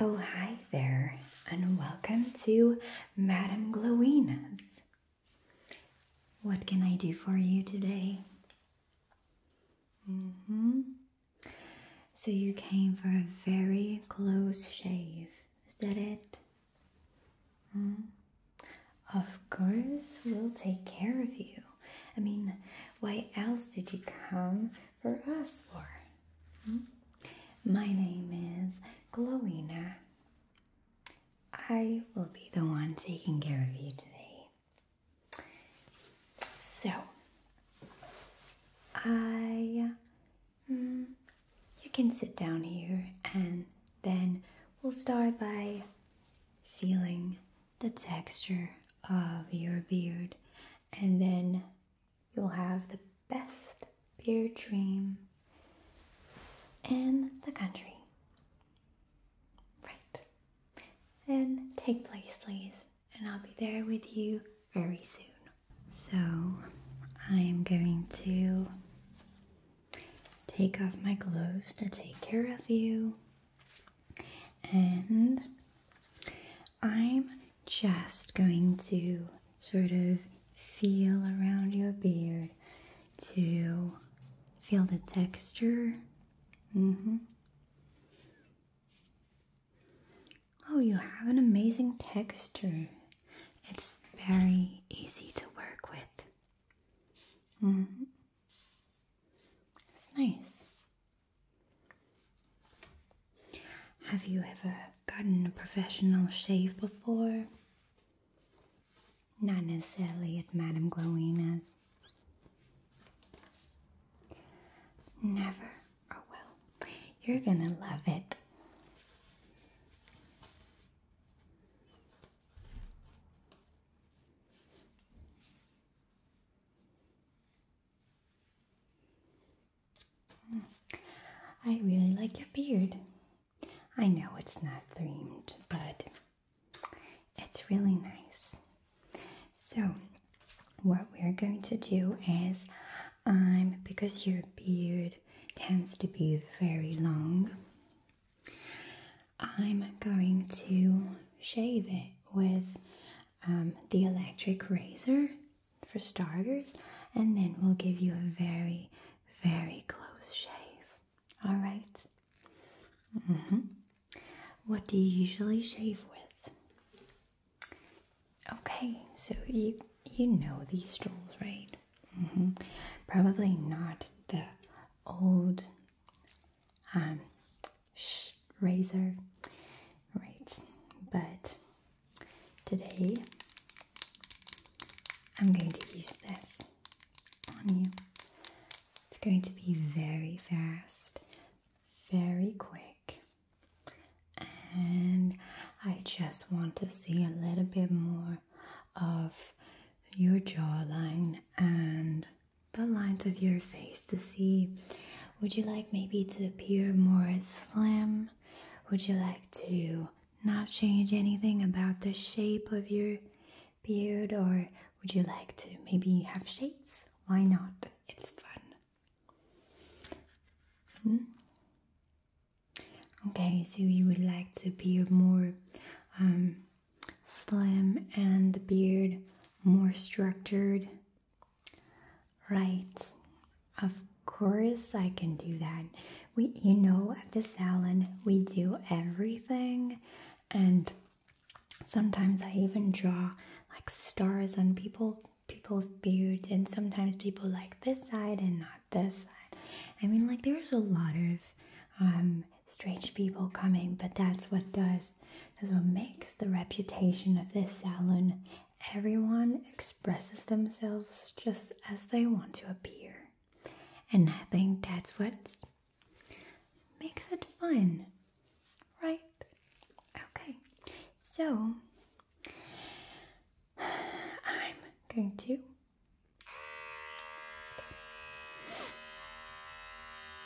Oh, hi there, and welcome to Madame Glowina's. What can I do for you today? Mm hmm. So, you came for a very close shave, is that it? hmm. Of course, we'll take care of you. I mean, why else did you come for us for. Hmm? My name is Glowina. I will be the one taking care of you today. So, I. Hmm, you can sit down here and then we'll start by feeling the texture of your beard and then You'll have the best beer dream in the country. Right. Then take place, please, and I'll be there with you very soon. So, I'm going to take off my gloves to take care of you. And I'm just going to sort of feel around your beard to feel the texture. Mm-hmm. Oh, you have an amazing texture. It's very easy to work with. Mm-hmm. It's nice. Have you ever gotten a professional shave before? Not necessarily at Madame Glowina's. Never. Oh well, you're gonna love it. Hmm. I really like your beard. I know it's not themed, but it's really nice. So, what we're going to do is, um, because your beard tends to be very long, I'm going to shave it with um, the electric razor for starters, and then we'll give you a very, very close shave. All right. Mm-hmm. What do you usually shave with? Okay, so you you know these tools, right? Mm-hmm. Probably not the old um, razor. Right, but today I'm going to use this on you. It's going to be very fast, very quick, and I just want to see a little bit more of your jawline and the lines of your face to see would you like maybe to appear more slim? Would you like to not change anything about the shape of your beard or would you like to maybe have shapes? Why not? It's fun. Hmm? Okay, so you would like to appear more um, slim and the beard more structured Right. Of course I can do that. We you know at the salon we do everything and sometimes I even draw like stars on people people's beards and sometimes people like this side and not this side. I mean like there's a lot of um strange people coming, but that's what does is what makes the reputation of this salon. Everyone expresses themselves just as they want to appear. And I think that's what makes it fun, right? Okay, so I'm going to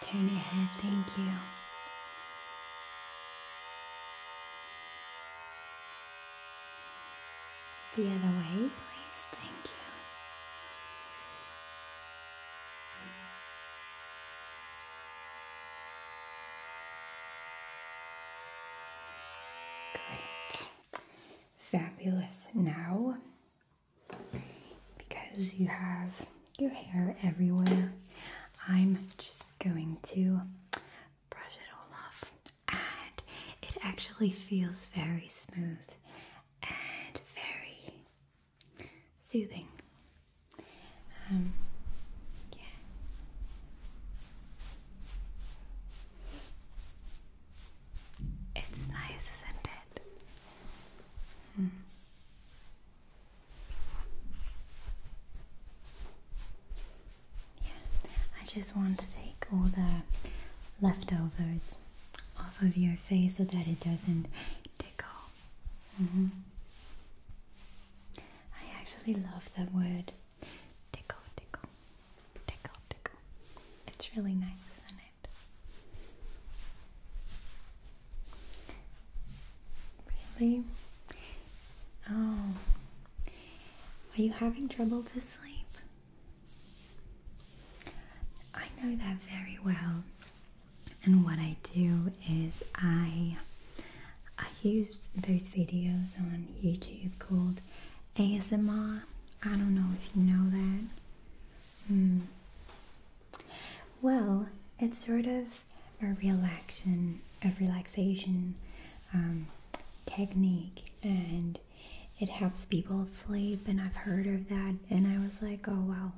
Turn your head, thank you. The other way, please, thank you. Great. Fabulous. Now because you have your hair everywhere, I'm just going to brush it all off. And it actually feels very smooth and very soothing. Um, it's nice, isn't it? Hmm. Yeah, I just want to take all the leftovers off of your face so that it doesn't tickle. Mm-hmm. I actually love the word tickle, tickle, tickle, tickle. It's really nice, isn't it? Really? Oh. Are you having trouble to sleep? I know that very well. And what I do is I I use those videos on YouTube called ASMR. I don't know if you know that. Mm. Well, it's sort of a relaxation, a relaxation um, technique, and it helps people sleep. And I've heard of that, and I was like, oh well,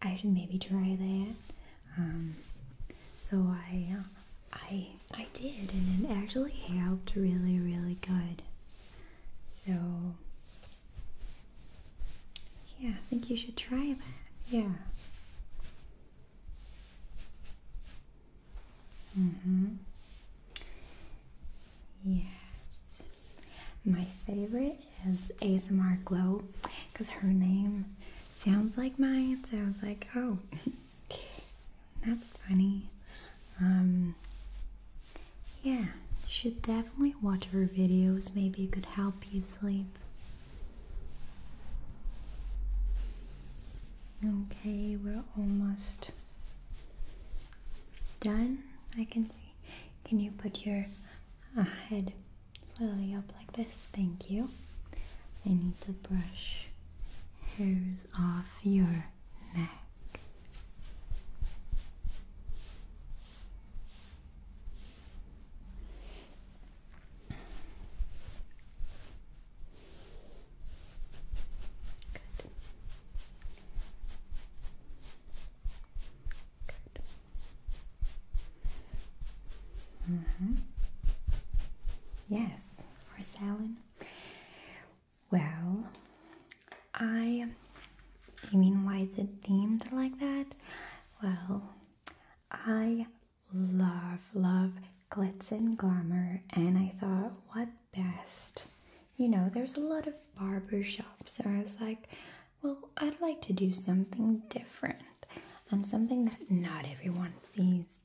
I should maybe try that. Um, so I, uh, I, I did, and it actually helped really, really good. So yeah, I think you should try that. Yeah. Mm-hmm. Yes. My favorite is ASMR Glow because her name sounds like mine, so I was like, oh, that's funny. Um, yeah, you should definitely watch her videos. Maybe it could help you sleep. Okay, we're almost done. I can see. Can you put your uh, head slightly up like this? Thank you. I need to brush hairs off your neck. Good. Good. Mm-hmm. Yes, or salad. Well, I, I mean, why is it themed like that? Well, I love, love glitz and glamour, and I thought, what best? You know, there's a lot of barber shops, so I was like, well, I'd like to do something different and something that not everyone sees.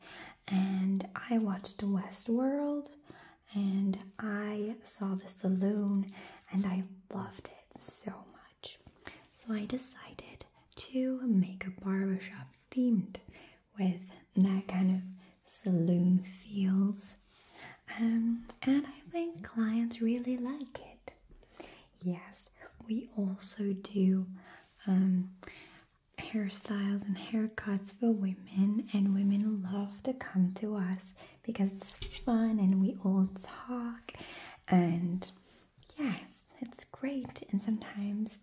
And I watched Westworld and I saw the saloon and I loved it so much. So I decided to make a barbershop themed with that kind of saloon feels. Um, and I think clients really like it. Yes, we also do um, hairstyles and haircuts for women, and women love to come to us because it's fun and we all talk and yes, it's great. And sometimes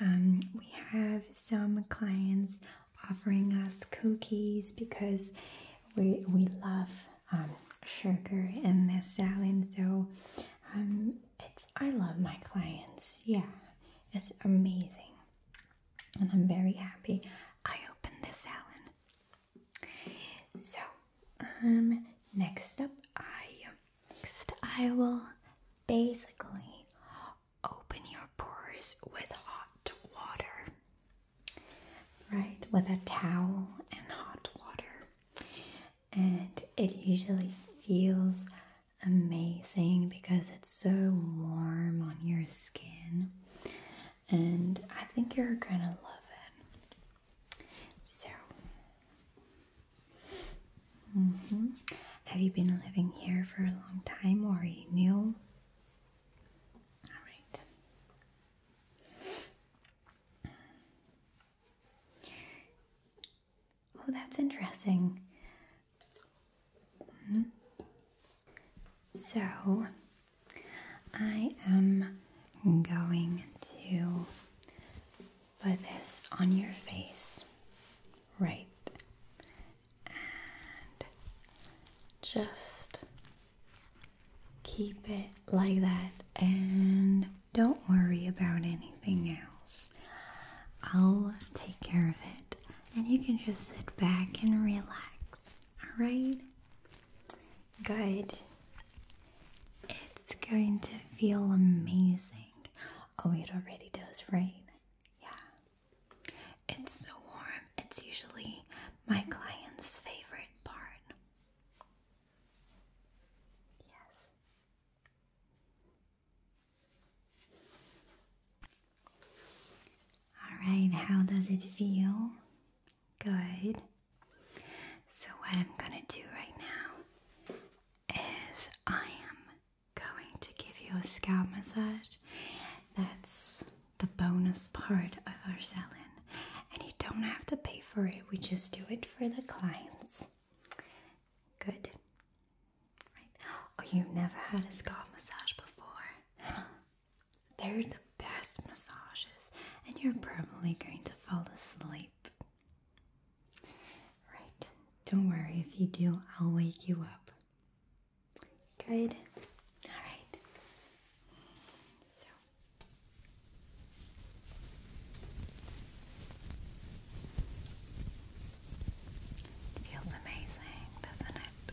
um, we have some clients offering us cookies because we we love um, sugar in this salad. So um, it's I love my clients. Yeah, it's amazing, and I'm very happy. I opened this salad so, um, next up, I next I will basically open your pores with hot water, right? With a towel and hot water, and it usually feels amazing because it's so warm on your skin and I think you're gonna love it. So, mm-hmm. have you been living here for a long time or are you new? Oh, that's interesting. Mm-hmm. So I am going to put this on your face. Right. And just keep it like that and don't worry about anything else. I'll take care of it and you can just sit back and relax. Alright? Good. It's going to feel amazing. Oh, it already does, right? Yeah. It's so warm. It's usually my client's favorite part. Yes. All right, how does it feel? Good. So, what I'm going to do right now is I am going to give you a scalp massage. That's the bonus part of our selling. And you don't have to pay for it, we just do it for the clients. Good. Oh, you've never had a scalp massage before. They're the best massages, and you're probably going to fall asleep. Right, don't worry if you do, I'll wake you up. Good, alright. feels amazing, doesn't it?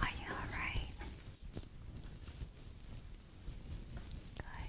Are you alright? Good.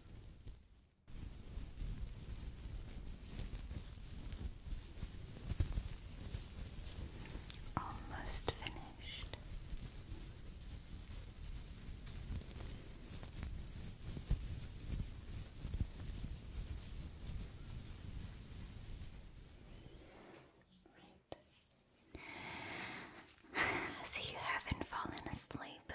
Almost finished. Right. So you haven't fallen asleep.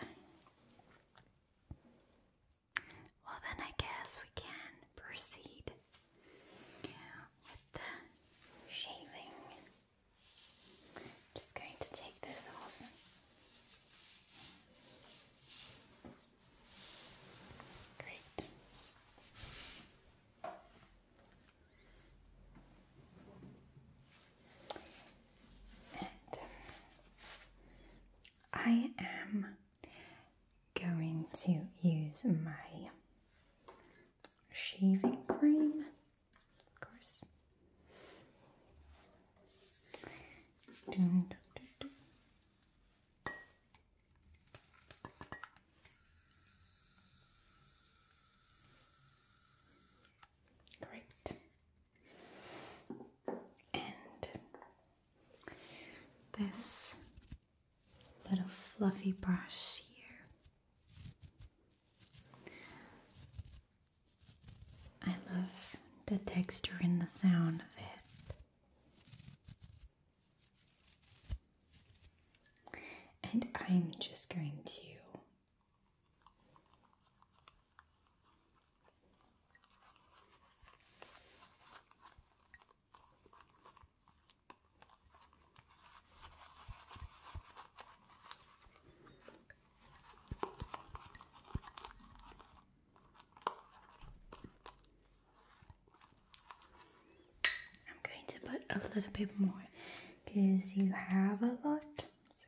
Well, then I guess we can proceed with the shaving. just going to take this off. Great. Uh, I am going to use my shaving cream, of course. Great. And this little fluffy brush here. I love the texture and the sound of it. And I'm just going to I'm going to put a little bit more because you have a lot, so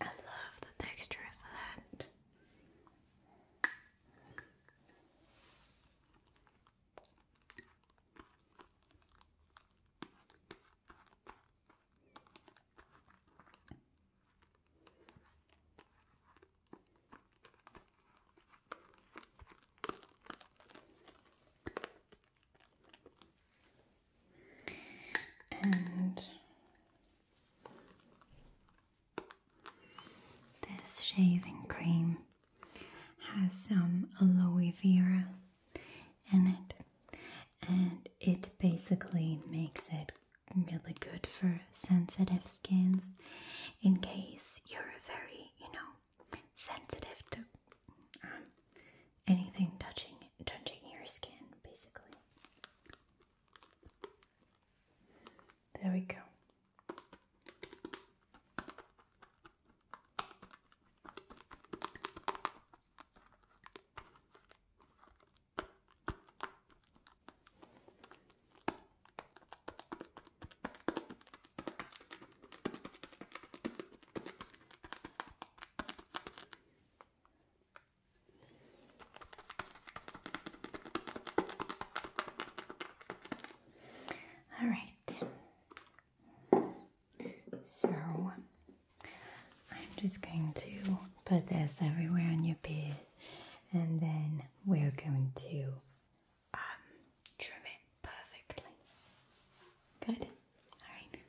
I love the texture of that and this shaving cream has some aloe vera in it and it basically makes it really good for sensitive skins in case you're very you know sensitive to um, anything touching touching your skin, basically. There we go. All right. So I'm just going to put this everywhere on your beard and then we're going to um, trim it perfectly. Good. All right.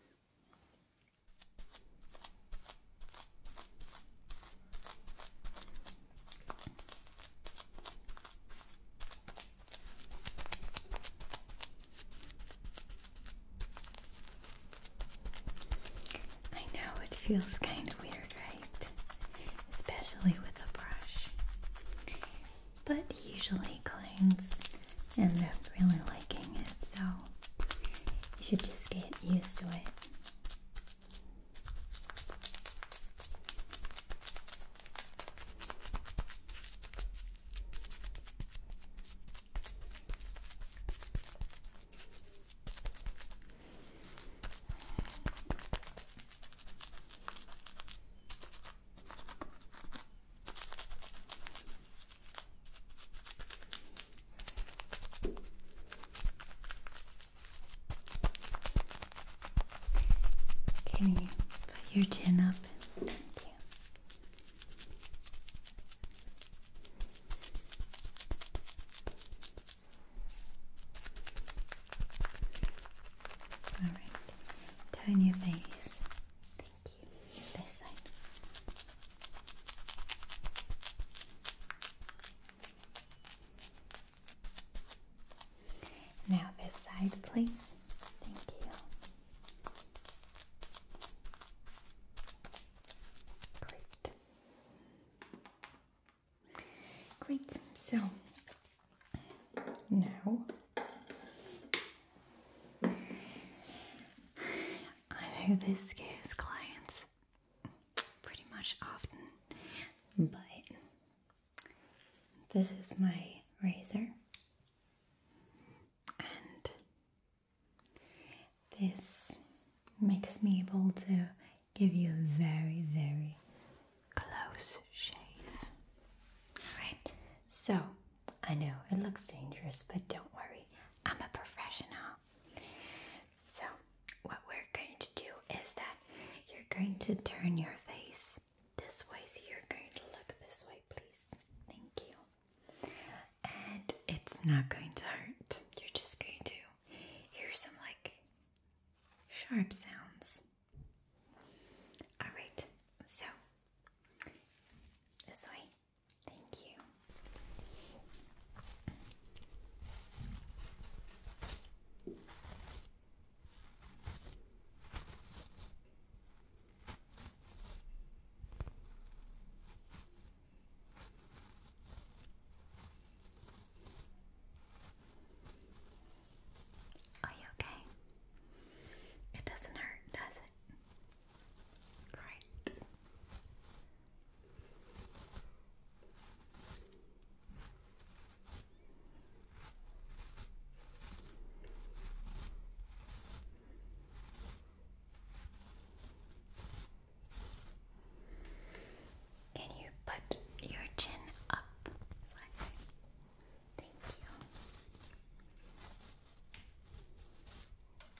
I know it feels kind of weird, right? Especially with a brush. But usually and end up really liking it, so you should just get used to it. Can you put your chin up? Thank you. All right. Turn your face. Now this side, please. Thank you. Great. Great. So now I know this scares clients pretty much often, but this is my razor, and this makes me able to give you a very, very close shave. Alright, so I know it looks dangerous, but don't worry, I'm a professional. So, what we're going to do is that you're going to turn your face this way, so you're going to look this way, please. Thank you. And it's not going to hurt, you're just going to hear some like sharp sounds. Alright, so this way. Thank you. Are you okay? It doesn't hurt, does it? Great. Can you put your chin up Thank you.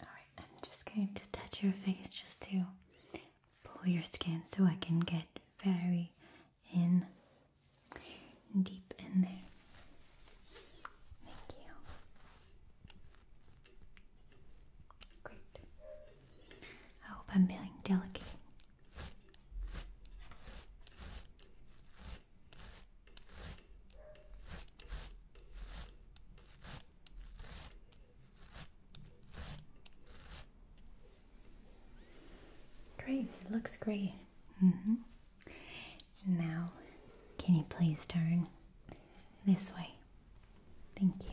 Alright, I'm just going to touch your face just to pull your skin so I can get very in deep in there. Thank you. Great. I hope I'm feeling delicate. Great, looks great. Mm-hmm. Now, can you please turn this way? Thank you.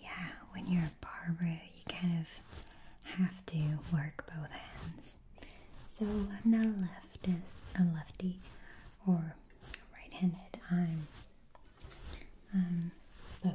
Yeah, when you're a barber, you kind of have to work both hands. So I'm not a left a lefty or right-handed. I'm um, both.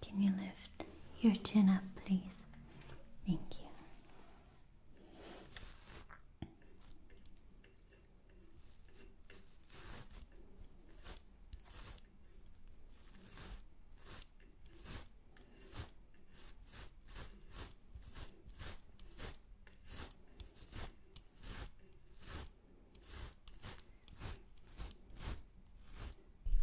can you lift your chin up, please? Thank you. Great. Good.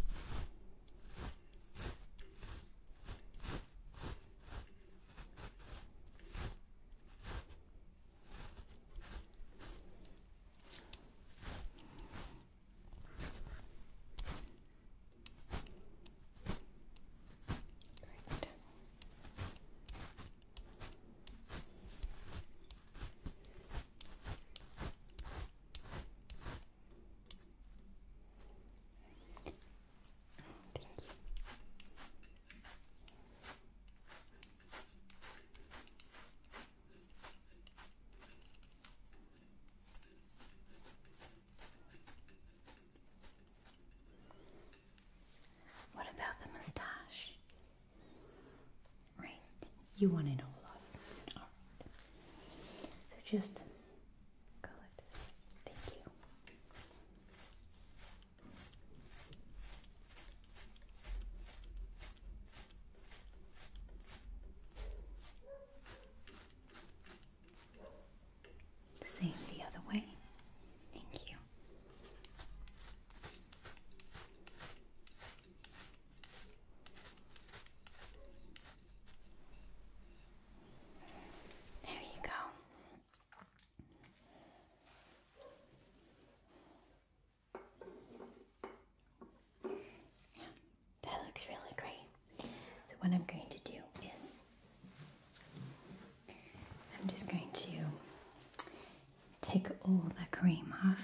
What about the mustache? Right you want it all off. All right. So just go like this. Thank you. Same the other way. Thank you. There you go. Yeah, that looks really great. So, what I'm going to do is I'm just going to take all the cream off.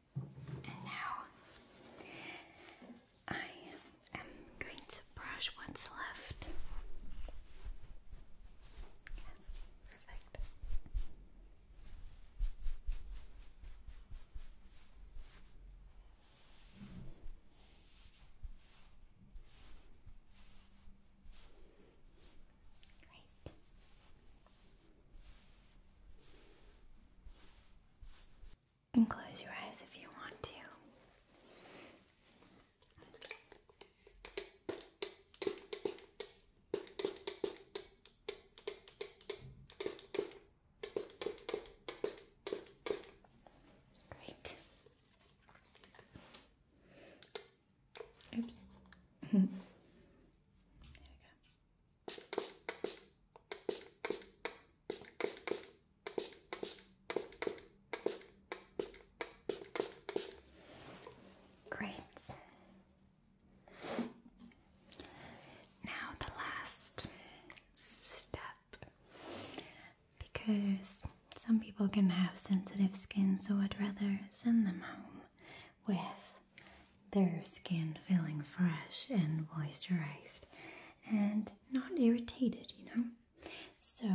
And now I am going to brush what's left. Yes, perfect. Great. And close your eyes if you want to. Great. Oops. there we go. Great. Now, the last step because some people can have sensitive skin, so I'd rather send them home with their skin feeling fresh and moisturized and not irritated, you know. So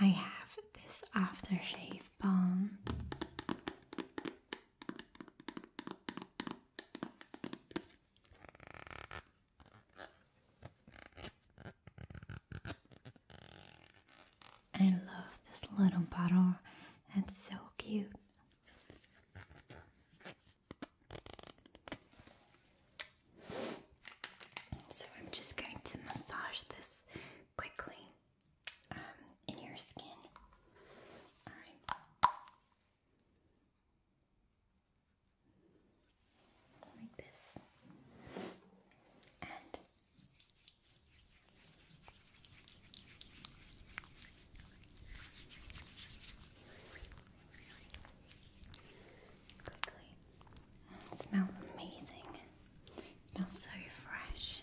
I have this aftershave balm. I love this little bottle. It's so cute. So I'm just going to massage this quickly um, in your skin. All right. Like this. Quickly. Oh, it smells amazing. It smells so fresh.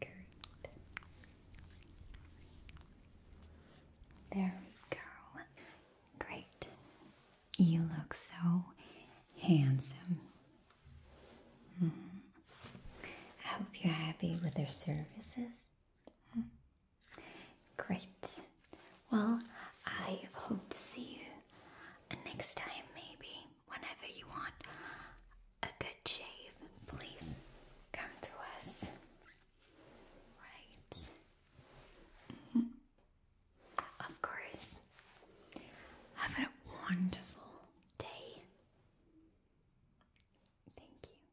Good. There we go. Great. You look so handsome. Mm-hmm. I hope you're happy with their services. Mm-hmm. Great. Well, I hope to see you next time, maybe, whenever you want a good shave. Please come to us. Right. Mm-hmm. Of course. Have a wonderful day. Thank you.